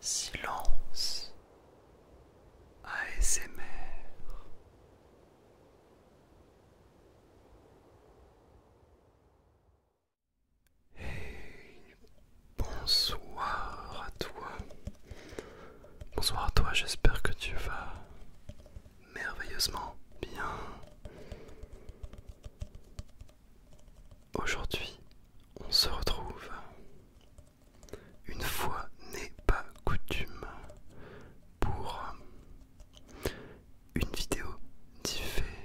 Silence ASMR Hey bonsoir à toi Bonsoir à toi j'espère que tu vas merveilleusement bien Aujourd'hui, on se retrouve. Une fois n'est pas coutume pour euh, une vidéo diffée.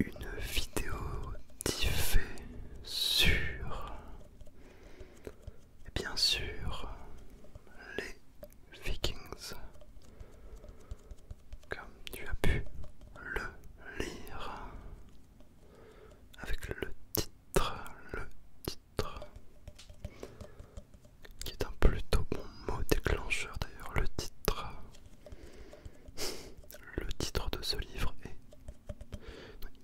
Une vidéo diffée sur, bien sûr, les Vikings comme tu as pu le lire avec le titre, le titre qui est un plutôt bon mot déclencheur d'ailleurs, le titre. Le titre de ce livre est...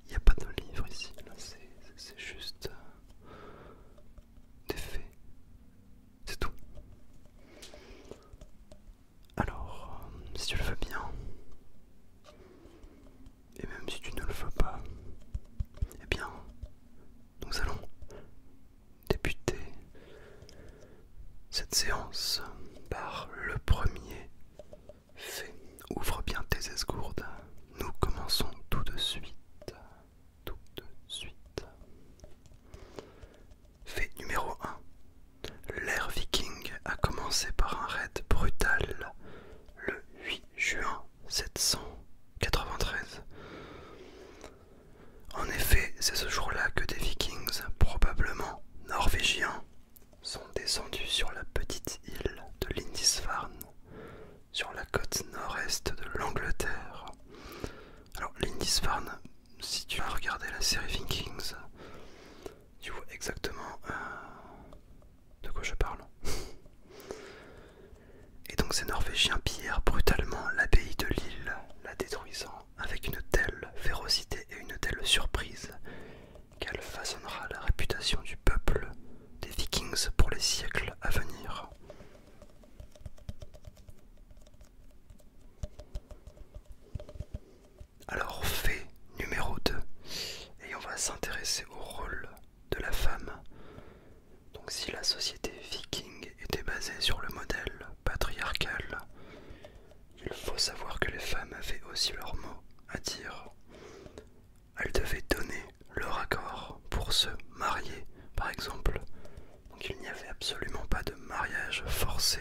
Il n'y a pas de livre ici, c'est juste des faits. C'est tout. Alors, si tu le veux bien, et même si tu ne le veux pas, eh bien, nous allons débuter cette séance par le premier fait. Ouvre bien tes esgourdes, nous commençons tout de suite, tout de suite. Fait numéro 1. L'ère viking a commencé par un raid brutal le 8 juin 793. En effet, c'est ce jour-là que des vikings, probablement norvégiens, sont descendus sur la petite île de Lindisfarne, sur la côte nord-est de l'Angleterre. Alors, Lindisfarne, si tu as regardé la série Vikings, tu vois exactement euh, de quoi je parle. Et donc ces Norvégiens pillèrent brutalement l'abbaye de l'île, la détruisant avec une telle férocité et une telle surprise qu'elle façonnera la réputation du peuple des Vikings pour les siècles à venir. Alors, fait numéro 2. Et on va s'intéresser au rôle de la femme. Donc si la société viking était basée sur le modèle patriarcal, il faut savoir que les femmes avaient aussi leur mot à dire. Elles devaient donner leur accord pour se marier, par exemple. Donc il n'y avait absolument pas de mariage forcé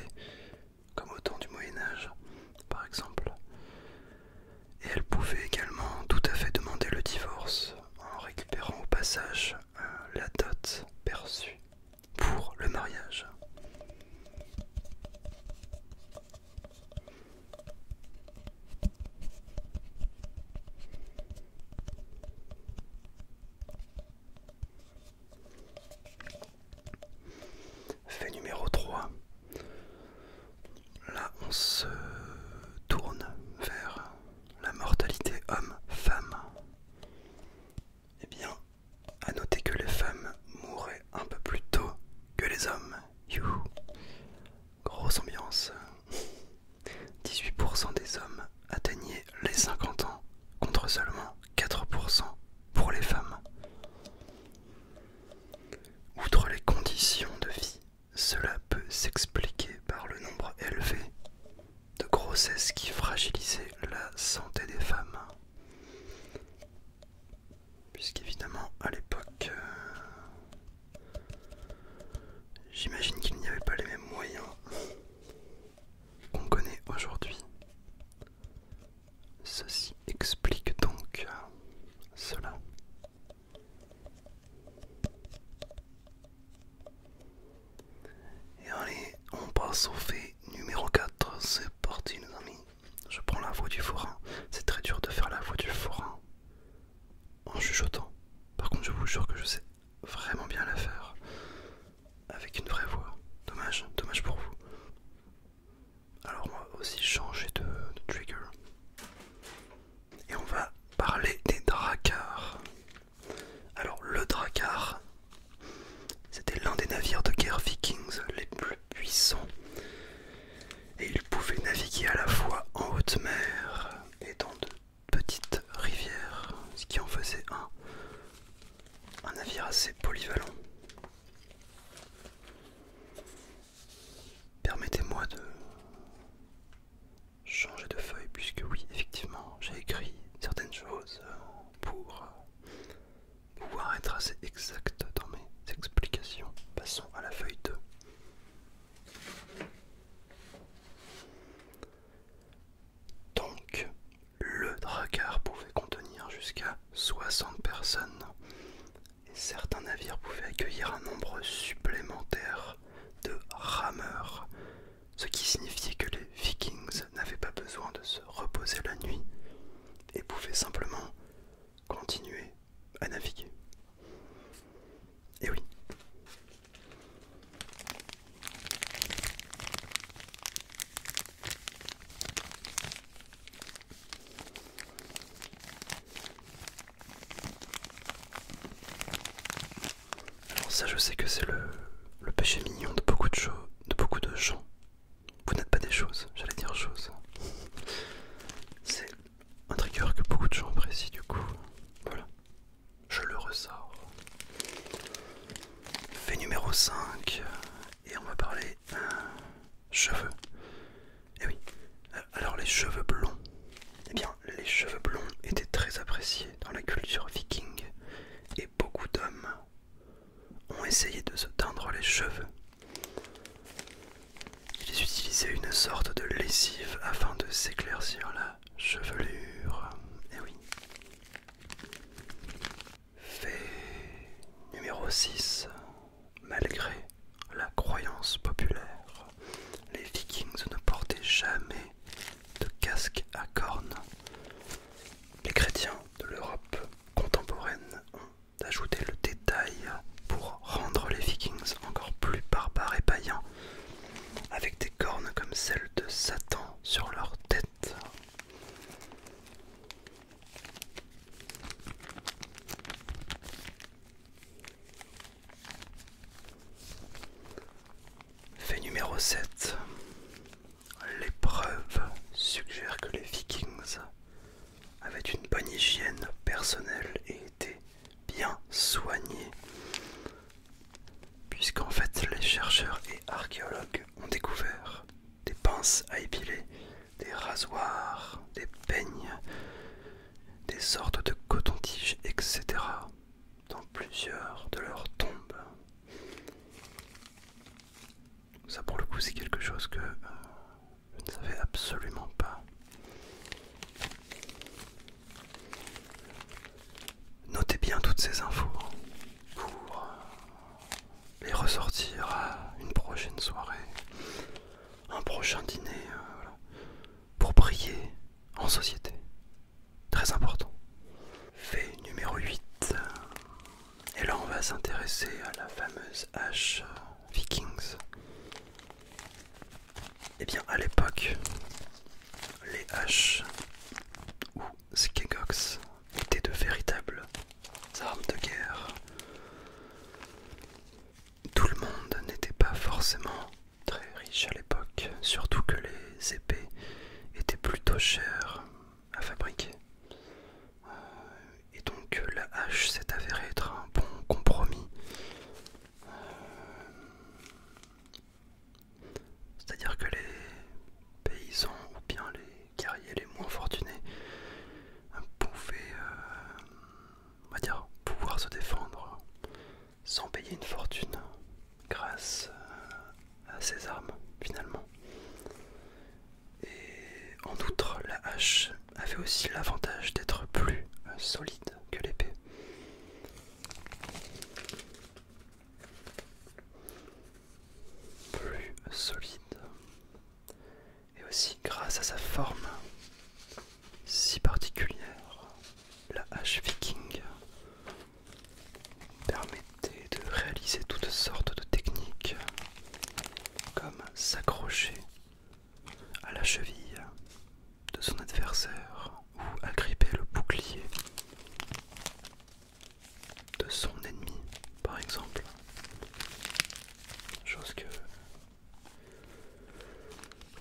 comme au temps du Moyen Âge, par exemple. Et elle pouvait également tout à fait demander le divorce en récupérant au passage euh, la dot perçue pour le mariage. Fait numéro 3. Là, on se tourne vers la mortalité homme-femme. Eh bien, à noter que les femmes mouraient un peu plus tôt que les hommes. Grosse ambiance. 18% des hommes atteignaient les 50 ans contre seulement 4% pour les femmes. Outre les conditions de vie, cela peut s'expliquer par le nombre élevé de grossesses qui fragilisaient la santé des femmes. Puisqu'évidemment, à l'époque, euh, j'imagine qu'il n'y avait pas les mêmes moyens qu'on connaît aujourd'hui. Ceci explique donc cela. Et allez, on passe au fait numéro 4. C'est parti, nos amis. Je prends la voix du forain. C'est très dur de faire la voix du forain en chuchotant. Par contre, je vous jure que je sais vraiment bien la faire avec une vraie voix. Dommage, dommage pour vous. Alors moi aussi changer de, trigger. Et on va parler des dracars. Alors le Drakkar, c'était l'un des navires de guerre vikings les plus puissants. Et il pouvait naviguer à la fois en haute mer et dans de petites rivières, ce qui en faisait un, un navire assez polyvalent. Permettez-moi de changer de feuille puisque oui, effectivement, j'ai écrit certaines choses euh, pour euh, pouvoir être assez exact dans mes explications. Passons à la feuille 2. Donc, le drakkar pouvait contenir jusqu'à 60 personnes et certains navires pouvaient accueillir un nombre supplémentaire de rameurs, ce qui signifiait que les vikings n'avaient pas besoin de se reposer la nuit et pouvaient simplement continuer à naviguer. Et oui. Alors ça je sais que c'est le, péché mignon de beaucoup de, de beaucoup de gens. Vous n'êtes pas des choses, j'allais dire choses. C'est un trigger que beaucoup de gens apprécient du coup. Voilà. Je le ressors. Fait numéro 5, et on va parler cheveux. Eh oui. Alors les cheveux blonds. Eh bien, les cheveux blonds étaient très appréciés dans la culture viking et beaucoup d'hommes ont essayé de se teindre les cheveux. Ils utilisaient une sorte de lessive afin de s'éclaircir la chevelure. Eh oui. Fait numéro 6. Malgré la croyance populaire, les vikings ne portaient jamais de casque à cornes. Les chrétiens de l'Europe contemporaine ont ajouté le détail pour rendre les vikings encore plus barbares et païens, avec des cornes comme celles de Satan sur leur tête. Fait numéro 7. L'épreuve suggère que les vikings avaient une bonne hygiène personnelle et étaient bien soignés, puisqu'en fait les chercheurs et archéologues ont découvert des pinces à épiler des rasoirs, des peignes, des sortes de coton-tiges, etc. dans plusieurs de leurs tombes. Ça pour le coup c'est quelque chose que euh, je ne savais absolument pas. Notez bien toutes ces infos pour les ressortir à une prochaine soirée, un prochain dîner, euh, pour briller en société. Très important. Fait numéro 8. Et là, on va s'intéresser à la fameuse hache euh, Vikings. Et eh bien, à l'époque, les haches ou skegox étaient de véritables armes de guerre. Tout le monde n'était pas forcément très riche à l'époque, surtout que les épées étaient plutôt chères à fabriquer. Euh, et donc la hache s'est avérée être un bon compromis. Euh, c'est-à-dire que les paysans ou bien les guerriers, les moins fortunés euh, pouvaient, euh, va dire, pouvoir se défendre sans payer une fortune grâce euh, à ces armes finalement. Et en outre, la hache avait aussi l'avantage d'être plus solide que l'épée. Plus solide et aussi grâce à sa forme si particulière, la hache viking permettait de réaliser toutes sortes de techniques comme s'accrocher à la cheville de son adversaire ou agripper le bouclier de son ennemi par exemple Chose que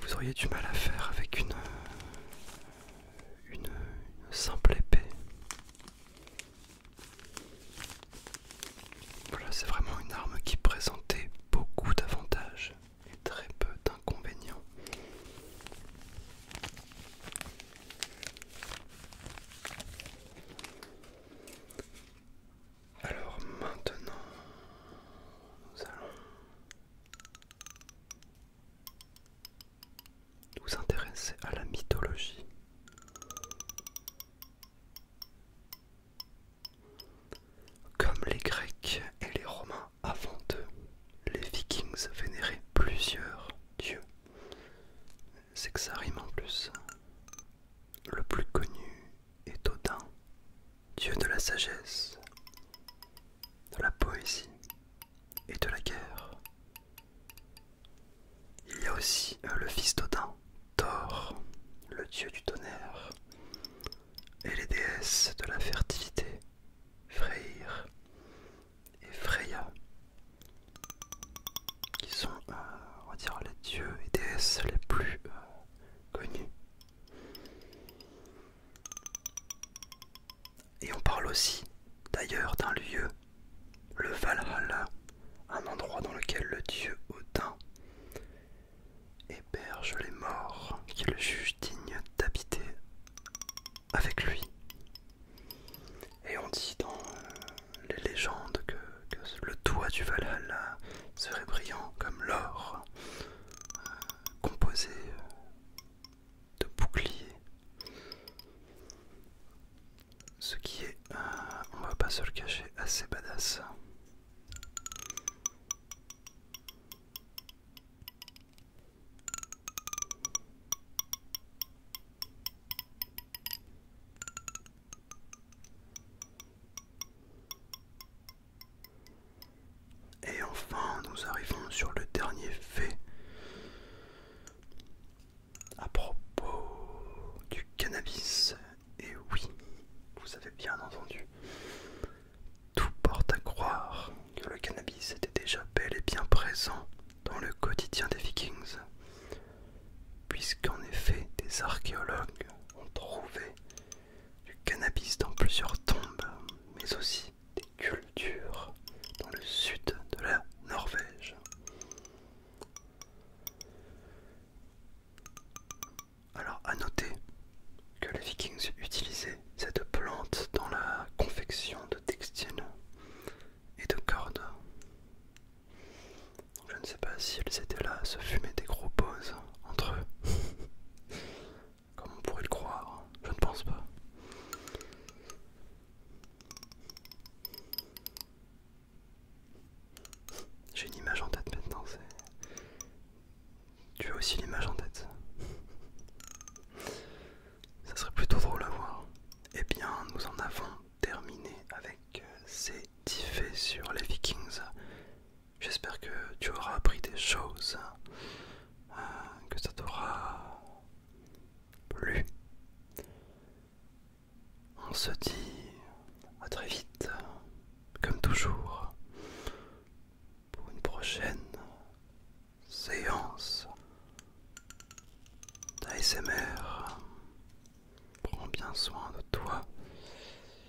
vous auriez du mal à faire avec une, simple épée. Voilà, c'est vraiment une arme qui présentait beaucoup d'avantages et très peu d'inconvénients. Alors maintenant, nous allons nous intéresser à la mythologie. Comme les Grecs et les Romains avant eux, les Vikings vénéraient plusieurs dieux, c'est que ça rime en plus. Le plus connu est Odin, dieu de la sagesse, de la poésie et de la guerre. Il y a aussi euh, le fils d'Odin, Thor, le dieu du tonnerre, et les déesses de la fertilité, Freyr et Freya qui sont, euh, on va dire, les dieux et déesses les plus euh, connus. Et on parle aussi d'ailleurs d'un lieu, le Valhalla, un endroit dans lequel le dieu Odin héberge les morts qui le jugent digne d'habiter avec lui. Et on dit dans euh, les légendes que, le toit du Valhalla serait brillant comme l'or, euh, composé de boucliers. Ce qui est, euh, on va pas se le cacher, assez badass. Et enfin, nous arrivons sur le dernier fait à propos du cannabis. Et oui, vous avez bien entendu, tout porte à croire que le cannabis était déjà bel et bien présent dans le quotidien des Vikings puisqu'en effet des archéologues ont trouvé du cannabis dans plusieurs tombes, mais aussi des cultures dans le sud de la Norvège. Alors à noter que les vikings utilisaient cette plante dans la confection de textiles et de cordes je ne sais pas si elles étaient là à se fumer des gros poses, entre eux. Comme on pourrait le croire, je ne pense pas. J'ai une image en tête maintenant, Tu as aussi l'image en tête. Ça serait plutôt drôle à voir. Eh bien, nous en avons terminé avec euh, ces dix faits sur les Vikings. J'espère que tu auras appris des choses, hein, euh, que ça t'aura plu. On se dit à très vite, comme toujours, pour une prochaine séance d'ASMR. Prends bien soin de toi